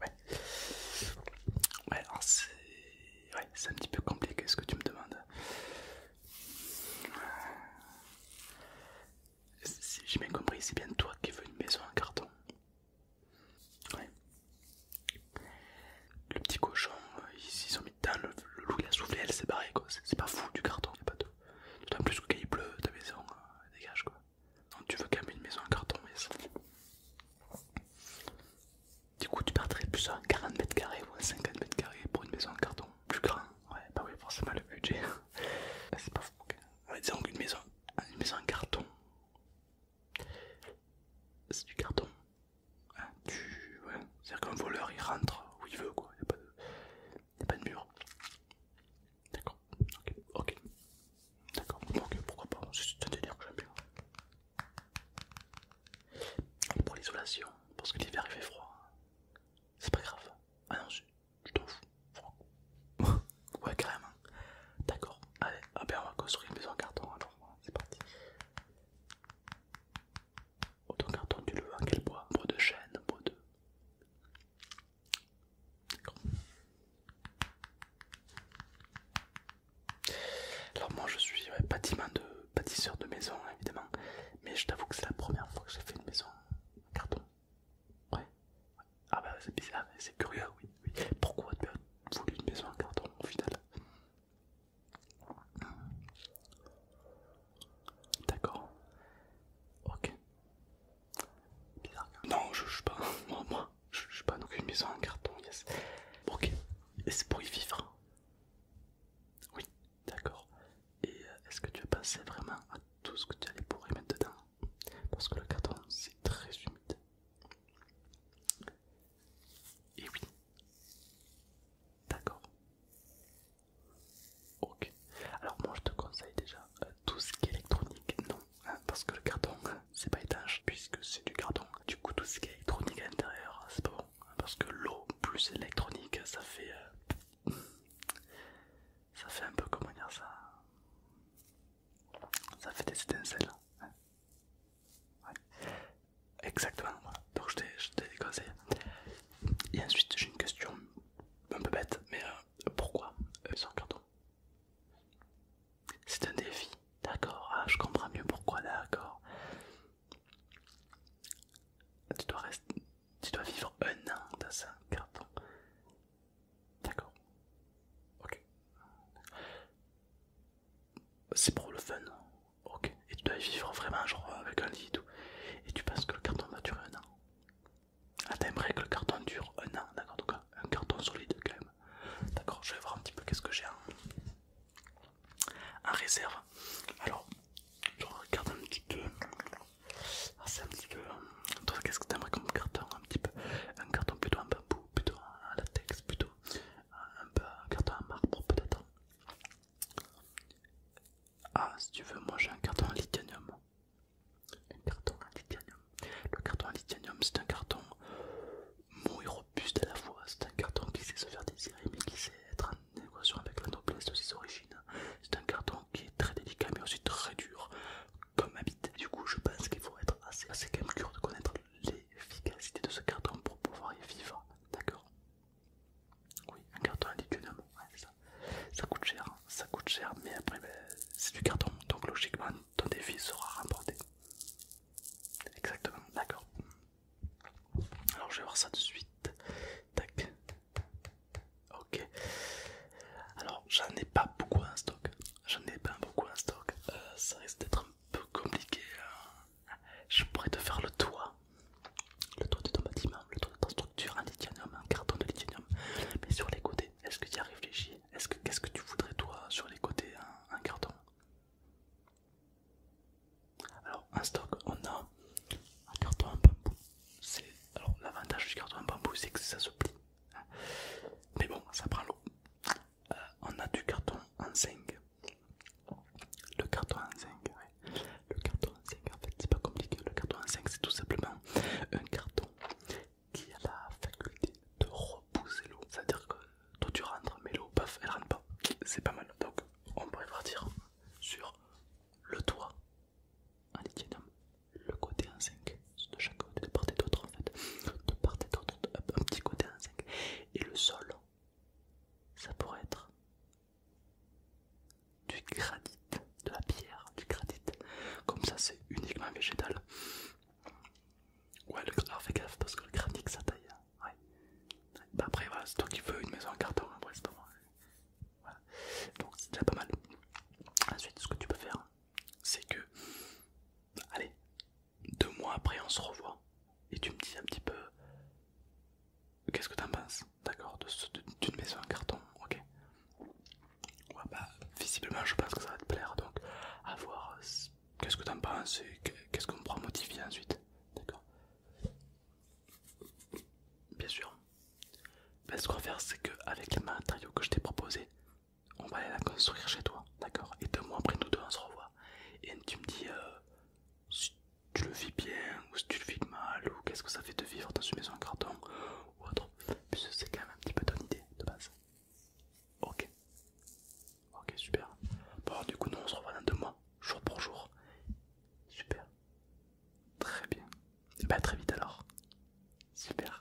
Ouais. Ouais, c'est. Ouais, c'est un petit peu compliqué ce que tu me demandes. j'ai bien compris, c'est bien toi qui veux une maison en carton. Ouais. Le petit cochon, euh, ils sont mis dedans, le, loup il a soufflé, elle s'est barrée quoi. C'est pas fou du carton, y'a pas de. en plus que quand il pleut, ta maison euh, dégage quoi. Donc tu veux quand même une maison en carton mais Du coup tu perdrais plus à 40 mètres carrés ou à 50 mètres carrés pour une maison en carton plus grand. Ouais bah oui forcément le budget. C'est pas fou. disons qu'une maison, une maison en carton. C'est du carton. Hein, ouais. C'est-à-dire qu'un voleur il rentre où il veut quoi. Il n'y a pas de mur. D'accord. Ok, ok. D'accord, ok, euh, pourquoi pas, c'est te dire que j'aime bien. Pour l'isolation, parce que l'hiver il fait froid, c'est pas grave. Ah non, je t'en fous. froid ouais, carrément. D'accord, allez, ah ben, on va construire une maison en carton alors, c'est parti. Autant carton, tu le veux, quel bois Bois de chêne, bois de. Alors moi je suis de bâtisseur de maison hein, évidemment, mais je t'avoue que c'est la première fois que j'ai fait une maison en carton. Ouais. Ah bah c'est bizarre, hein, c'est curieux, oui, Pourquoi tu as voulu une maison en carton au final D'accord. Ok. Hein. Non, je juge pas. Moi, je je juge pas. Donc une maison en carton, yes. Ok. Et c'est pour y vivre. Oui, d'accord. Et euh, est-ce que tu as pensé vraiment à tout ce que tu allais pour y mettre dedans Parce que le carton, c'est très humide. Et oui. D'accord. Ok. Alors moi je te conseille déjà euh, tout ce qui est électronique, non, hein, parce que le carton c'est pas étanche puisque c'est du carton. Du coup tout ce qui est électronique à l'intérieur hein, c'est pas bon, hein, parce que l'eau plus électronique ça fait, euh, ça fait un peu comment dire ça, ça fait des étincelles. Exactement. Voilà. Donc je te déconseille. Et ensuite j'ai une question un peu bête, mais euh, pourquoi euh, Sur c'est carton C'est un défi, d'accord, ah, je comprends mieux pourquoi, d'accord. Tu dois, rester, tu dois vivre un an dans un carton. D'accord. Ok. C'est pour le fun. Ok. Et tu dois vivre vraiment genre avec un lit et tout. Et tu penses que le carton va durer un an. Ah, t'aimerais que le carton dure euh, un an, d'accord, donc un carton solide quand même. D'accord, je vais voir un petit peu qu'est-ce que j'ai en... réserve. Alors, je regarde un petit peu. Ah, c'est un petit peu. Euh, toi, qu'est-ce que t'aimerais comme carton Un petit peu. Un carton plutôt en bambou, plutôt en latex, plutôt un, peu, un carton en marbre peut-être. Ah, si tu veux, moi j'ai un carton en lithium. Un carton en Le carton en c'est un carton mou et robuste à la fois. C'est un carton qui sait se faire désirer mais qui sait être en équation avec la noblesse de ses origines. C'est un carton qui est très délicat mais aussi très dur comme habitant Du coup, je pense qu'il faut être assez, assez de connaître l'efficacité de ce carton pour pouvoir y vivre. D'accord oui, un carton lithium, ça. coûte cher, hein. ça coûte cher, mais après ben, c'est du carton, donc logiquement ton défi sera remporté. Exactement, d'accord. Alors je vais voir ça de suite. Tac. Ok. Alors j'en ai pas beaucoup en stock. J'en ai pas beaucoup en stock. Euh, ça risque d'être un peu compliqué. Hein. Je pourrais te faire le toit le toit de ton bâtiment, le toit de ta structure en lithium, en carton de lithium, mais sur les côtés, est-ce que tu y as réfléchi Qu'est-ce que, que tu voudrais toi sur les côtés en, carton Alors en stock on a un carton en bambou. Alors l'avantage du carton en bambou c'est que ça se plie. Hein. mais bon ça prend l'eau. Euh, on a du carton en zinc. Le carton en zinc, oui. Le carton 5 en fait, c'est pas compliqué. Le carton 5 c'est tout simplement un carton qui a la faculté de repousser l'eau. C'est-à-dire que toi tu rentres, mais l'eau, paf, elle rentre pas. C'est pas mal. Donc, on pourrait partir sur le toit en lithium, le côté en 5 de chaque côté, de part et d'autre en fait, de part et d'autre, un petit côté en 5 et le sol, ça pourrait être du granit, de la pierre, du granit. Comme ça, c'est uniquement végétal. Ouais, le, alors fais gaffe parce que le granit ça taille. Hein. Ouais. Bah, après, voilà, c'est toi qui veux une maison en carton. Hein, c'est pas moi. Voilà. Donc, c'est déjà pas mal. Ensuite, ce que tu peux faire, c'est que, allez, deux mois après, on se revoit et tu me dis un petit peu qu'est-ce que t'en penses. D'accord, d'une maison en carton, ok. Bah, visiblement, je pense que ça va te plaire, donc à voir euh, qu'est-ce que en penses et qu'est-ce qu'on pourra modifier ensuite. D'accord Bien sûr. Ben, ce qu'on va faire, c'est qu'avec les matériaux que je t'ai proposé on va aller la construire chez toi, d'accord Et deux mois après, nous deux, on se revoit. Et tu me dis euh, tu le vis bien ou si tu le vis mal ou qu'est-ce que ça fait de vivre dans une maison en carton ou autre. c'est quand même un petit peu ton idée de base. Ok. Ok, super. Bon, du coup, nous on se revoit dans deux mois, jour pour jour. Super. Très bien. Et eh bah, ben, très vite alors. Super.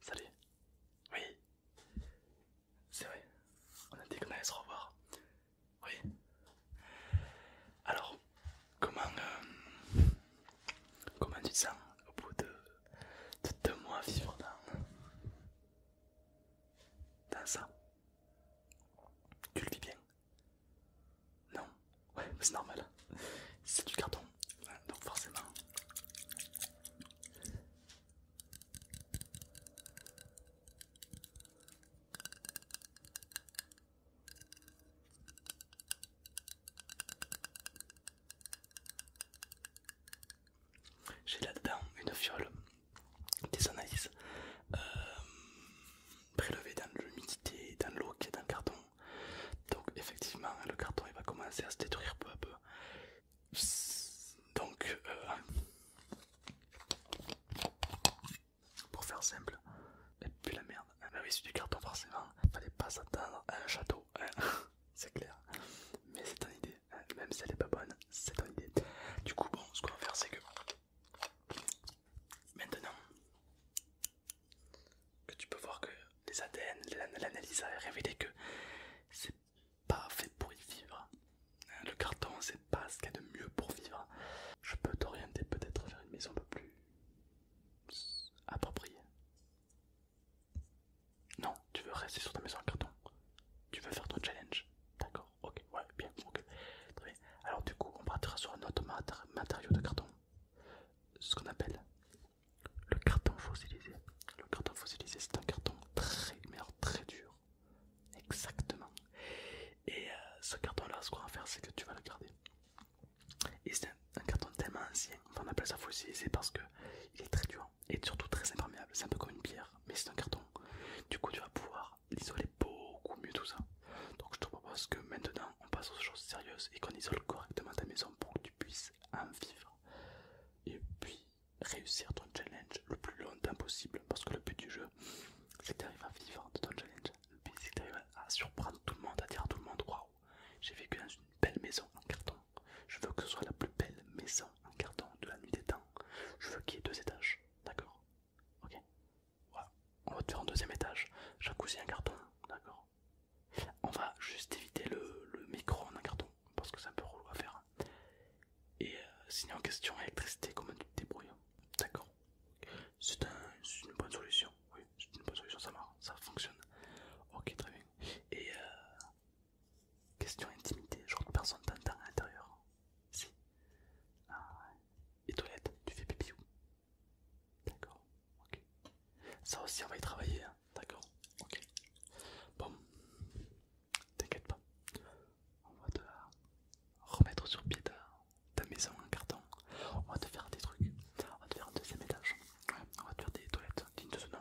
Salut. Oui. C'est vrai. On a dit qu'on allait se revoir. Oui. Alors, comment, euh, comment tu te sens au bout de, deux mois vivre dans, dans ça Tu le vis bien Non Ouais, c'est normal. C'est du carton. donc forcément. J'ai là-dedans une fiole des analyses euh, prélevées dans l'humidité, dans l'eau qui est dans le carton, donc effectivement le carton il va commencer à se détruire peu à peu. Donc euh, pour faire simple, et eh, puis la merde, bah oui c'est du carton forcément, fallait pas s'attendre à un château, hein. c'est clair. Mais c'est ton idée, eh, même si elle est pas bonne, c'est ton idée. Du coup bon ce qu'on va faire c'est que maintenant que tu peux voir que les ADN, l'analyse a révélé que c'est pas fait pour y vivre. Hein, le carton, c'est pas ce qu'il y a de mieux pour vivre. Je peux t'orienter peut-être vers une maison un peu plus appropriée. Non, tu veux rester sur ta maison en carton. Tu veux faire ton challenge. D'accord, ok, ouais, bien, ok. Alors du coup, on partira sur un autre matériau de carton ce qu'on appelle le carton fossilisé. Le carton fossilisé, c'est un carton très, très dur. Exactement. Et euh, ce carton-là, ce qu'on va faire, c'est que tu vas le garder. Et c'est un, carton tellement ancien, qu'on on appelle ça fossilisé parce que il est très dur et surtout très imperméable. C'est un peu comme une pierre, mais c'est un carton. Du coup, tu vas pouvoir l'isoler beaucoup mieux tout ça. Donc, je te propose que maintenant, on passe aux choses sérieuses et qu'on isole correctement ta maison pour que tu puisses en vivre et puis réussir ton challenge le plus longtemps possible parce que le but du jeu c'est que à vivre de ton challenge, le but c'est que à surprendre tout le monde, à dire à tout le monde waouh j'ai vécu dans une belle maison en carton, je veux que ce soit la plus belle maison en carton de la nuit des temps, je veux qu'il y ait deux étages, d'accord Ok on va te faire un deuxième étage. Jacuzzi, un carton, d'accord. On va juste éviter le, micro en un carton parce que ça peut rouler. à faire. Et euh, sinon question électricité, comment tu te débrouilles hein. D'accord. C'est une bonne solution. Oui, c'est une bonne solution, ça marche, ça fonctionne. Ok, très bien. Et euh, question intimité, genre que personne t'entend à l'intérieur. Si. Ah Et toilette, tu fais pipi où D'accord, ok. Ça aussi, on va y travailler, hein. d'accord, ok. Bon, t'inquiète pas, on va te remettre sur pied ta, maison en carton. On va te faire des trucs, on va te faire un deuxième étage, on va te faire des toilettes dignes de ce nom,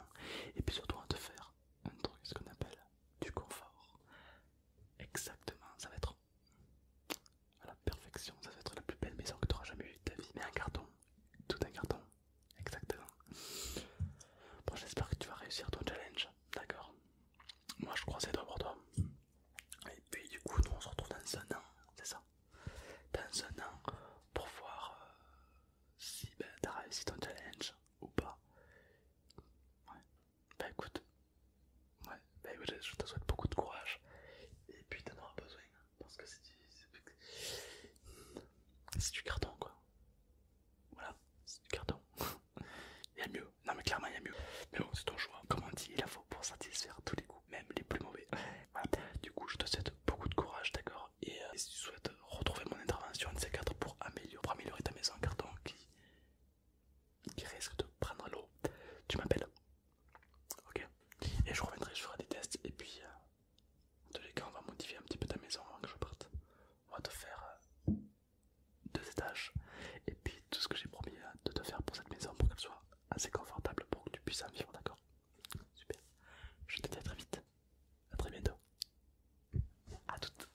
et puis surtout, on va te faire un truc, ce qu'on appelle du confort. Exactement, ça va être à la perfection, ça va être la plus belle maison que tu auras jamais eu de ta vie. Mais un carton, tout un carton, exactement. Bon, j'espère que tu vas réussir ton challenge, d'accord Moi je crois c'est toi pour toi. Et puis du coup, nous on se retrouve dans un an, c'est ça Dans un an pour voir euh, si ben, t'as réussi ton challenge ou pas. Ouais. Bah écoute, Ouais, bah je te souhaite beaucoup de courage. Et puis t'en auras besoin. Hein, parce que C'est du carton quoi. Voilà, c'est du carton. il y a mieux. Non mais clairement il y a mieux. Mais bon, c'est ton choix. Comme on dit, il faut pour satisfaire tous les goûts, même les plus mauvais. Du coup, je te souhaite beaucoup de courage, d'accord et, si euh, tu souhaites retrouver mon intervention en ces 4 pour améliorer, améliorer ta maison carton qui qui risque de prendre l'eau, tu m'appelles. Ok Et je reviendrai, je ferai des tests et puis de euh, les on va modifier un petit peu ta maison avant que je parte. On va te faire euh, deux étages et puis tout ce que j'ai promis euh, de te faire pour cette maison pour qu'elle soit assez confortable pour que tu puisses en vivre, d'accord Super. Je te dis à très vite. À très bientôt. À toutes.